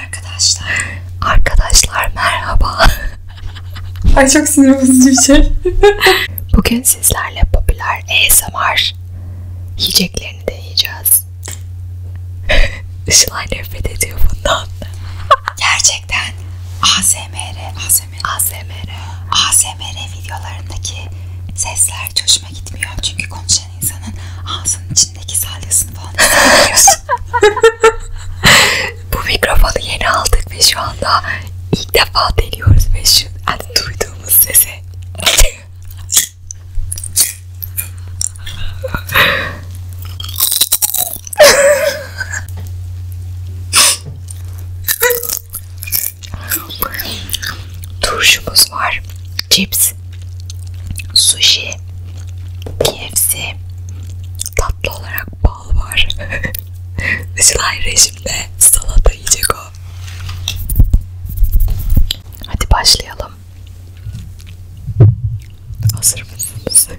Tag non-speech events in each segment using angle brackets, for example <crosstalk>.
Arkadaşlar. Arkadaşlar merhaba. <laughs> Ay çok sinir bozucu bir şey. <laughs> Bugün sizlerle popüler ASMR yiyeceklerini deneyeceğiz. Işılay <laughs> nefret ediyor bundan. Gerçekten ASMR, ASMR, ASMR, ASMR videolarındaki sesler hoşuma gitmiyor. Çünkü konuşan insanın ağzının içindeki salyasını falan bu mikrofonu yeni aldık ve şu anda ilk defa deniyoruz ve şu yani duyduğumuz sese Turşumuz var, cips Patates, sushi, KFC, tatlı olarak bal var. <laughs> Işılay rejimde salata yiyecek o. Hadi başlayalım. Hazır mısınız? <laughs>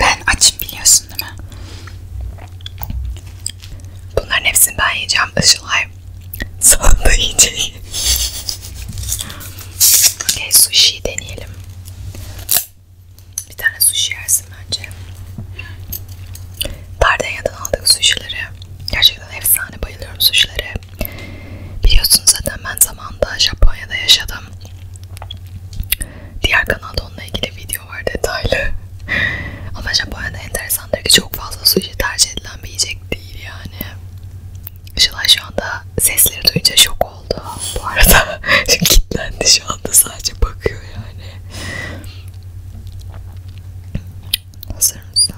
Ben açım biliyorsun değil mi? Bunların hepsini ben yiyeceğim. Işılay sonunda yiyecek. Okey sushi deneyelim. Bir tane sushi yersin bence. Pardanya'dan aldık sushileri. Gerçekten efsane bayılıyorum sushilere. Biliyorsunuz zaten ben zamanda Japonya'da yaşadım. Diğer kanalda onunla ilgili video var detaylı. <laughs> Ama Japonya'da enteresandır ki çok fazla sushi tercih edilen bir yiyecek değil yani. Işılay şu anda sesleri duyunca şok oldu <laughs> bu arada. Şimdi <laughs> kilitlendi şu anda sadece bakıyor yani. Hazır mısın?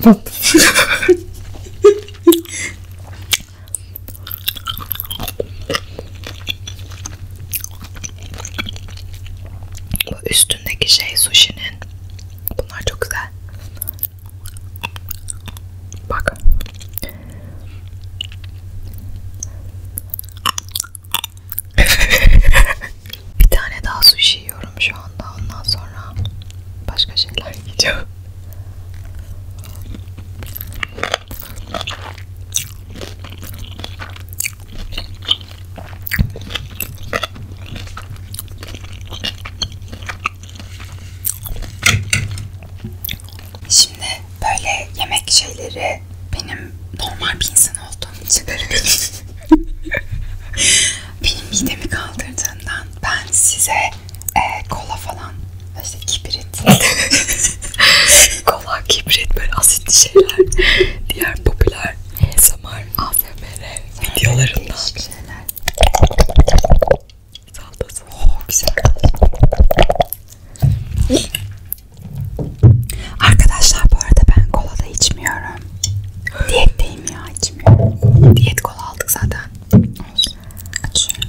Bu üstündeki şey sushi'nin. Bunlar çok güzel. Bak. <laughs> Bir tane daha sushi yiyorum şu anda. Ondan sonra başka şeyler yiyeceğim. Şimdi böyle yemek şeyleri benim normal bir insan olduğum için <laughs> benim midemi kaldırdığından ben size e, kola falan işte kibrit <laughs> kola kibrit böyle asitli şeyler diğer popüler ASMR ASMR videolarından şeyler Salatası. Oh, güzel. Arkadaşlar bu arada ben kola da içmiyorum. Diyetteyim ya içmiyorum. Diyet kola aldık zaten. Olsun. Açıyorum.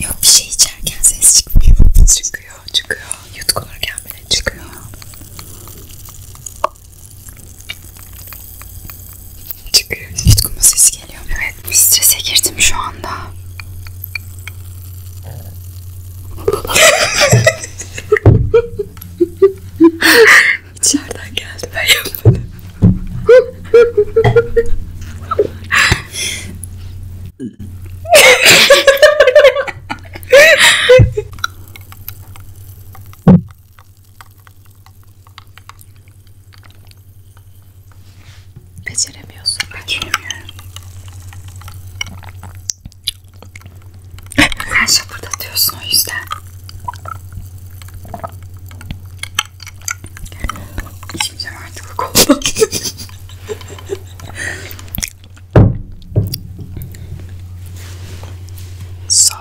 Yok bir şey içerken ses çıkmıyor. Çıkıyor, çıkıyor. Yutkunurken bile çıkıyor. Çıkıyor. Yutkunma sesi geliyor. Evet, strese girdim şu anda. <laughs> İçeriden geldi ben yapmadım. Beceremiyorsun. Beceremiyorum. Sen şapırdatıyorsun o yüzden. <laughs> so,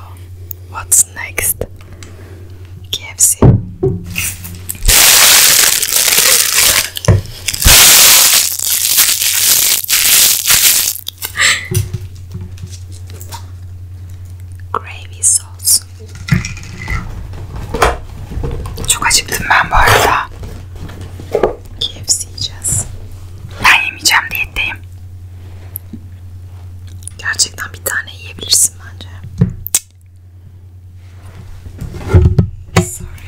what's next? KFC. <laughs> Gravy sauce. Çok acıktım ben bu arada. KFC yiyeceğiz. Ben yemeyeceğim diyetteyim. Gerçekten bir tane yiyebilirsin bence. Sorry.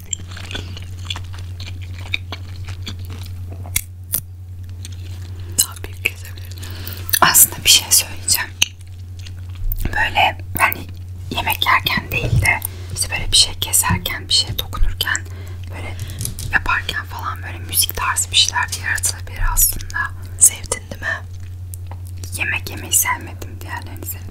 Daha büyük kesebilirim. Aslında bir şey söyleyeceğim. Böyle yani yemek yerken değil de işte böyle bir şey keserken, bir şey dokunurken, böyle yaparken falan böyle müzik tarzı bir şeyler de yaratılabilir aslında. Sevdin değil mi? Yemek yemeyi sevmedim. Diğerlerini sevdim.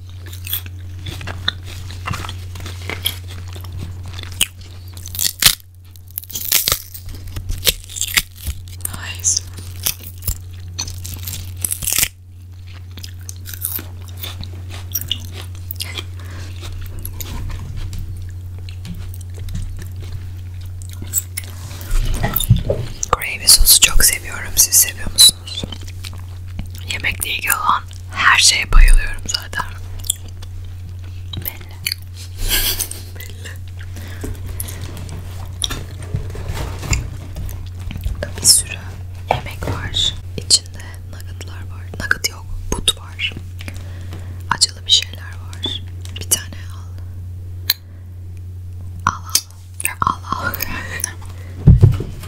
Nice. Gravy sosu çok seviyorum. Siz seviyor musunuz? Yemekle ilgili olan her şeye bayılıyorum zaten. Belli. Belli. Burada bir sürü yemek var. İçinde nuggetlar var. Nugget yok. But var. Acılı bir şeyler var. Bir tane al. Al al. Al al. <laughs>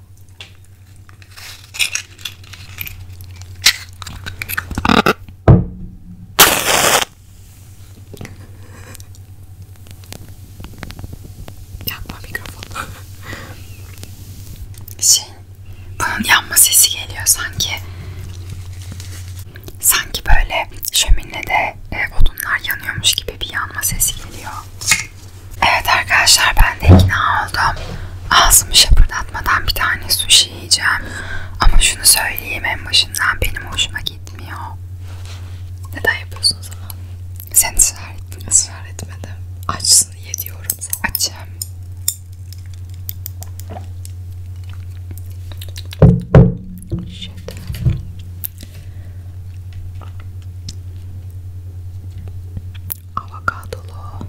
Yakma mikrofonu. Şey, bunun yanma sesi geliyor sanki. Sanki böyle şöminede e, odunlar yanıyormuş gibi bir yanma sesi geliyor. Evet arkadaşlar ben de ikna oldum. Ağzımı şapırdatmadan bir tane sushi yiyeceğim. Ama şunu söyleyeyim en başından benim hoşuma gitmiyor. Neden yapıyorsun o zaman? Sen ısrar ettin. Israr etmedim. Açsın ye diyorum sana. Açım. Shit avokadolu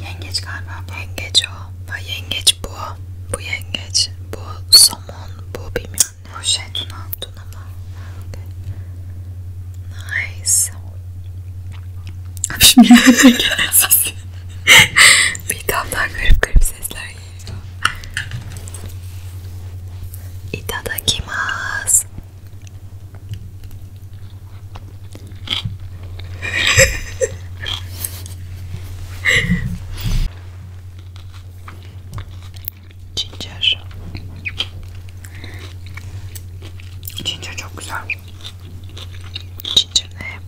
yengeç galiba yengeç o ha yengeç bu bu yengeç bu somon bu bilmiyorum ne o şey tuna tuna mı okay. nice abi şimdi <laughs> bir daha garip garip sesler geliyor itadakimasu Ginger. Ginger çok güzel. Ginger ne?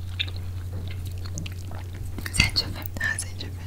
Zencefil. Ha zencefil.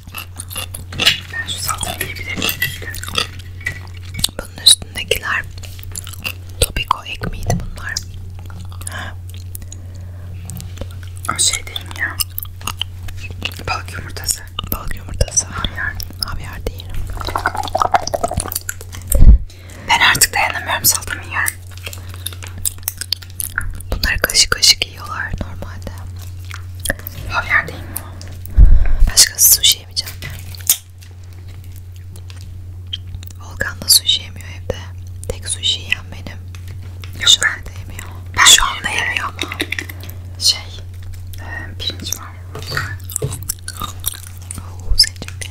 Ben şu salatayı yiyebilirim. Bunun üstündekiler Topiko ekmeğiydi bunlar. O şey değil mi ya? Balık yumurtası. Balık yumurtası. Havyar. Havyar değil. Ben artık dayanamıyorum salatamı yiyorum. Bunları kaşık kaşık yiyorlar normalde. Havyar değil mi o? Başka sushi yemeyeceğim Volkan da sushi yemiyor evde. Tek sushi yiyen benim. Yok, Şu anda ben, yemiyor. Ben Şu anda yemiyor, yemiyor ama. Şey, e, pirinç var. Oo, zencefil.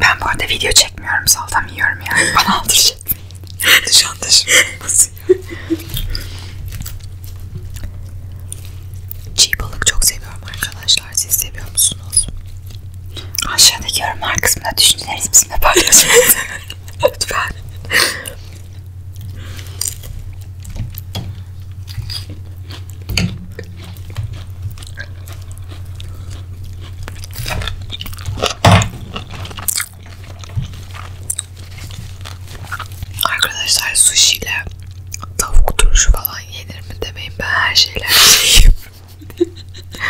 Ben bu arada video çekmiyorum. Saltam yiyorum yani. <laughs> Bana aldırış etmeyin. Şantaj nasıl ya? Çiğ balık çok seviyorum arkadaşlar. Siz seviyor musunuz? Aşağıdaki yorumlar kısmına düşüncelerinizi bizimle paylaşın. <laughs> Lütfen. Arkadaşlar sushi ile tavuk turşu falan yenir mi demeyin ben her şeyler yiyeyim.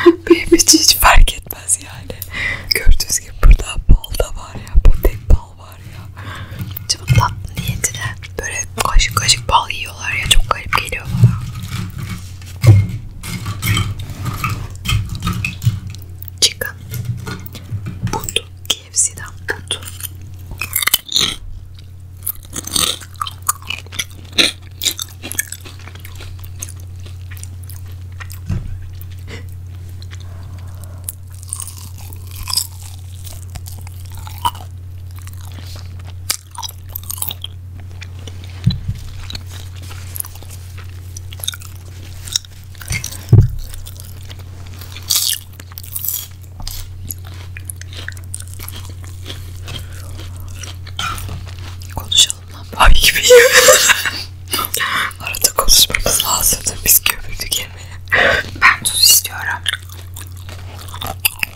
<laughs> Benim için hiç fark etmez yani. Gördüğünüz gibi burada bal da var ya. Bu tek bal var ya. Şimdi tatlı niyetine böyle kaşık kaşık bal yiyorlar ya çok garip geliyor bana. Chicken. But. KFC'den but. Konuşalım lan bay gibi. <laughs> Arada konuşmamız lazımdı. Biz gömüldük yemeğe. Ben tuz istiyorum.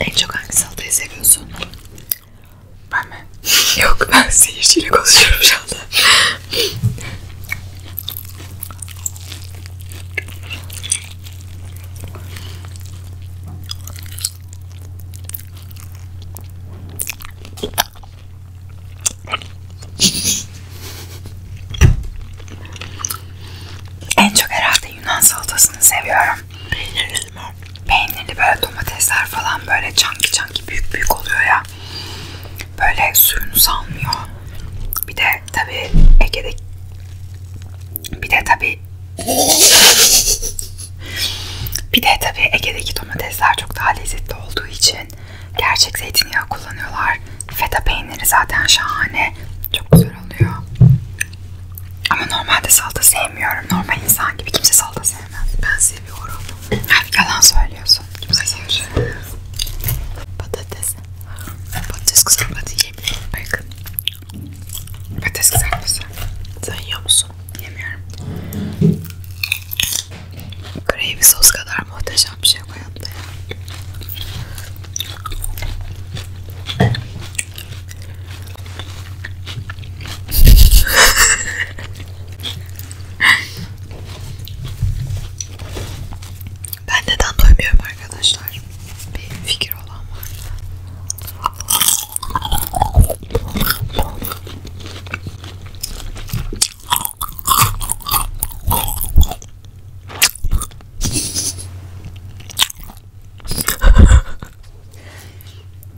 En çok hangi salatayı seviyorsun? Ben mi? <laughs> Yok ben seyirciyle konuşuyorum şu anda en çok herhalde Yunan salatasını seviyorum. Peynirli mi? Peynirli böyle domatesler falan böyle çanki çanki büyük büyük oluyor ya. Böyle suyunu salmıyor. Bir de tabi Ege'de bir de tabi bir de tabii Ege'deki domatesler çok daha lezzetli olduğu için gerçek zeytinyağı kullanıyorlar. Feta peyniri zaten şahane. Çok güzel oluyor. Ama normalde salata sevmiyorum. Normal insan gibi kimse salata sevmez. Ben seviyorum. Hep yalan söylüyorsun. Kimse seviyor. Patates. Patates kızartması yiyeyim. Bakın. Patates kızartması. Sen yiyor musun? Yemiyorum. Gravy sos kadar muhteşem bir şey bu hayatta ya. <laughs> ben neden doymuyorum arkadaşlar? Bir fikir olan var mı?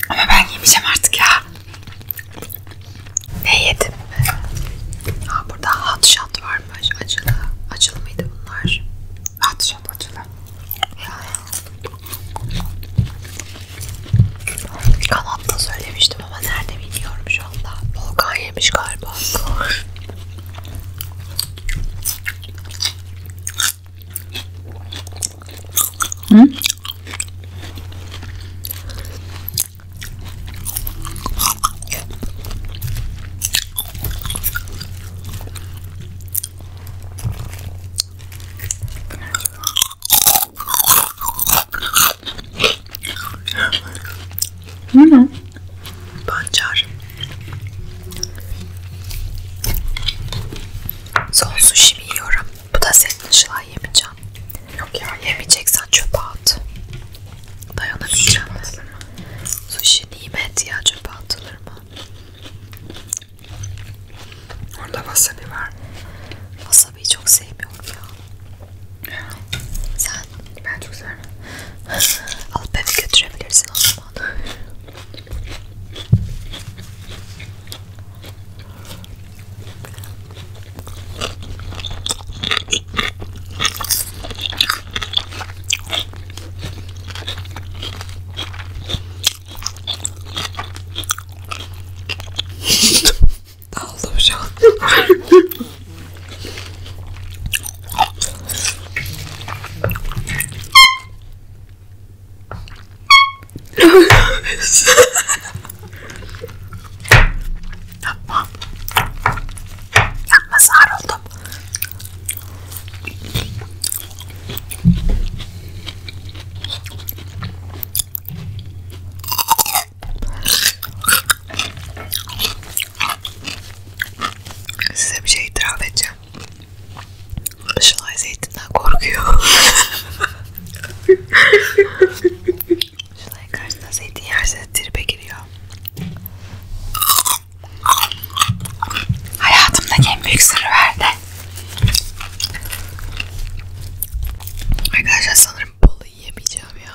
Ama ben yemeyeceğim artık ya. Ne yedim? Ha, burada hot shot varmış. Acılı. Acılı mıydı bunlar? Hadi şat açılan. Kanatta söylemiştim ama nerede bilmiyorum şu anda. Volkan yemiş galiba. Hı? Bu ne? Pancar. Son sushi yiyorum. Bu da senin Işıl'a yemeyeceğim. Yok ya yemeyeceksen çöpe at. Dayanamayacağım. Sushi nimet ya çöpe atılır mı? Orada wasabi var. Wasabi'yi çok sevmiyorum ya. Sen? Ben çok severim. <laughs> Alıp eve götürebilirsin o zaman. Dağıldım şu an. Yapma. Yapma sarıldım. Size bir şey itiraf edeceğim. Şunay zeytinden korkuyor. <laughs> Şunay karşısına zeytin yerse tribe giriyor. Hayatımdaki en büyük sırrı verdi. Arkadaşlar sanırım balı yemeyeceğim ya.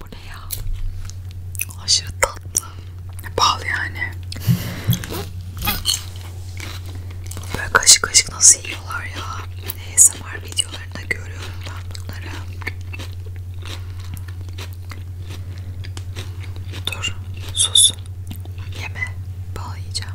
Bu ne ya? Aşırı tatlı. Bal yani. Böyle kaşık kaşık nasıl yiyorlar ya? ASMR videolarında görüyorum ben bunları. Dur, sus. Yeme, bal yiyeceğim.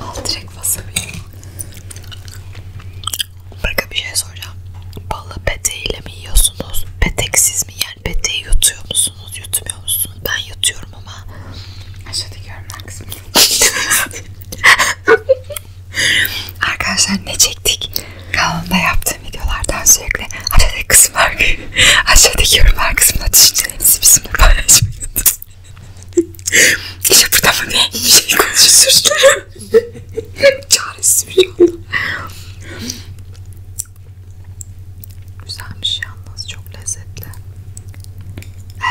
Al direkt wasabi. Bakın bir şey soracağım. Balı pete ile mi yiyorsunuz? Peteksiz mi? Yani peteği yutuyor musunuz? Yutmuyor musunuz? Ben yutuyorum ama. Aşağıdaki yorumlar kısmında. <laughs> Arkadaşlar ne çektik? Kanalımda yaptığım videolardan sürekli aşağıdaki kısımlar <laughs> aşağıdaki yorumlar kısmına düşünce düşüncelerinizi bizimle paylaşmayınız. <laughs> işte burada mı ne? Bir şey konuşuyorsunuz. <laughs> Çaresiz bir yolda. Güzelmiş yalnız. Çok lezzetli.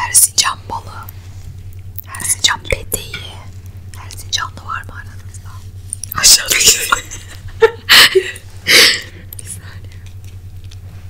Erzincan balı. Erzincan peteği. Erzincanlı var mı aranızda? Aşağıda bir saniye.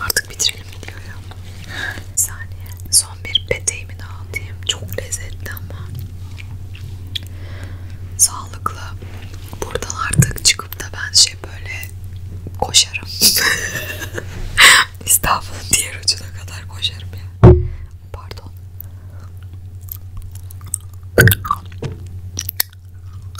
Artık bitirelim diyor ya. Bir saniye. Son bir peteğimi daha atayım. Çok lezzetli ama. Sağlıklı. Buradan artık çıkıp da ben şey böyle koşarım. <laughs> İstanbul'un diğer ucuna kadar koşarım ya. Pardon.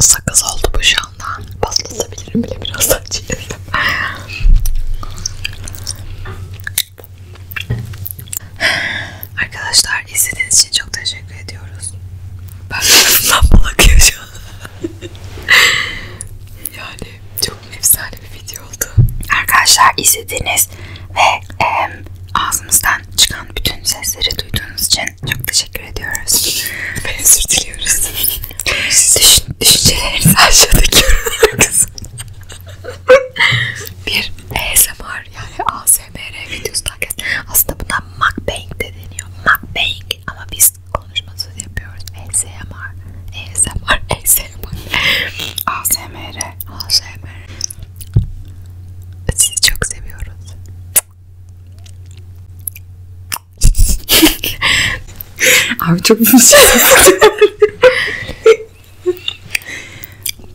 Sakız oldu bu şu anda. Baslatabilirim bile biraz daha çiğnedim. Arkadaşlar izlediğiniz için çok teşekkür ediyoruz. Ben arasından balakıyor şu an. yani çok efsane bir video oldu. Arkadaşlar izlediğiniz ve e, ağzımızdan çıkan bütün sesleri duyduğunuz için çok teşekkür teşekkür ediyoruz. Ve <laughs> özür diliyoruz. Düşün, düşüncelerinizi aşağıdaki yorumlara <laughs> Bir ASMR yani ASMR videosu takip Aslında buna mukbang de deniyor. Mukbang ama biz konuşması yapıyoruz. ASMR, ASMR, ASMR. ASMR, ASMR. Sizi çok seviyoruz. <laughs> Abi çok bir şey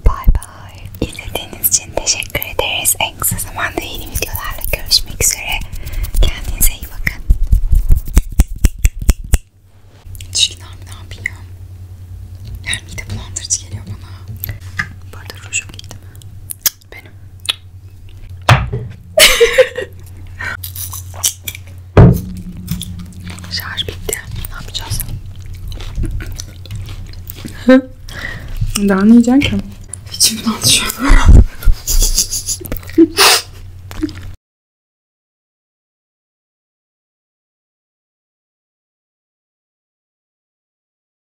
Bay bay. İzlediğiniz için teşekkür ederiz. En kısa zamanda yeni videolarla görüşmek üzere. Kendinize iyi bakın. Çirkin abi ne yapayım? Yani mide bulandırıcı geliyor bana. Bu arada rujum gitti mi? benim. Şarj bitti. Ne yapacağız? Daha ne yiyeceksin ki? İçimden düşüyor.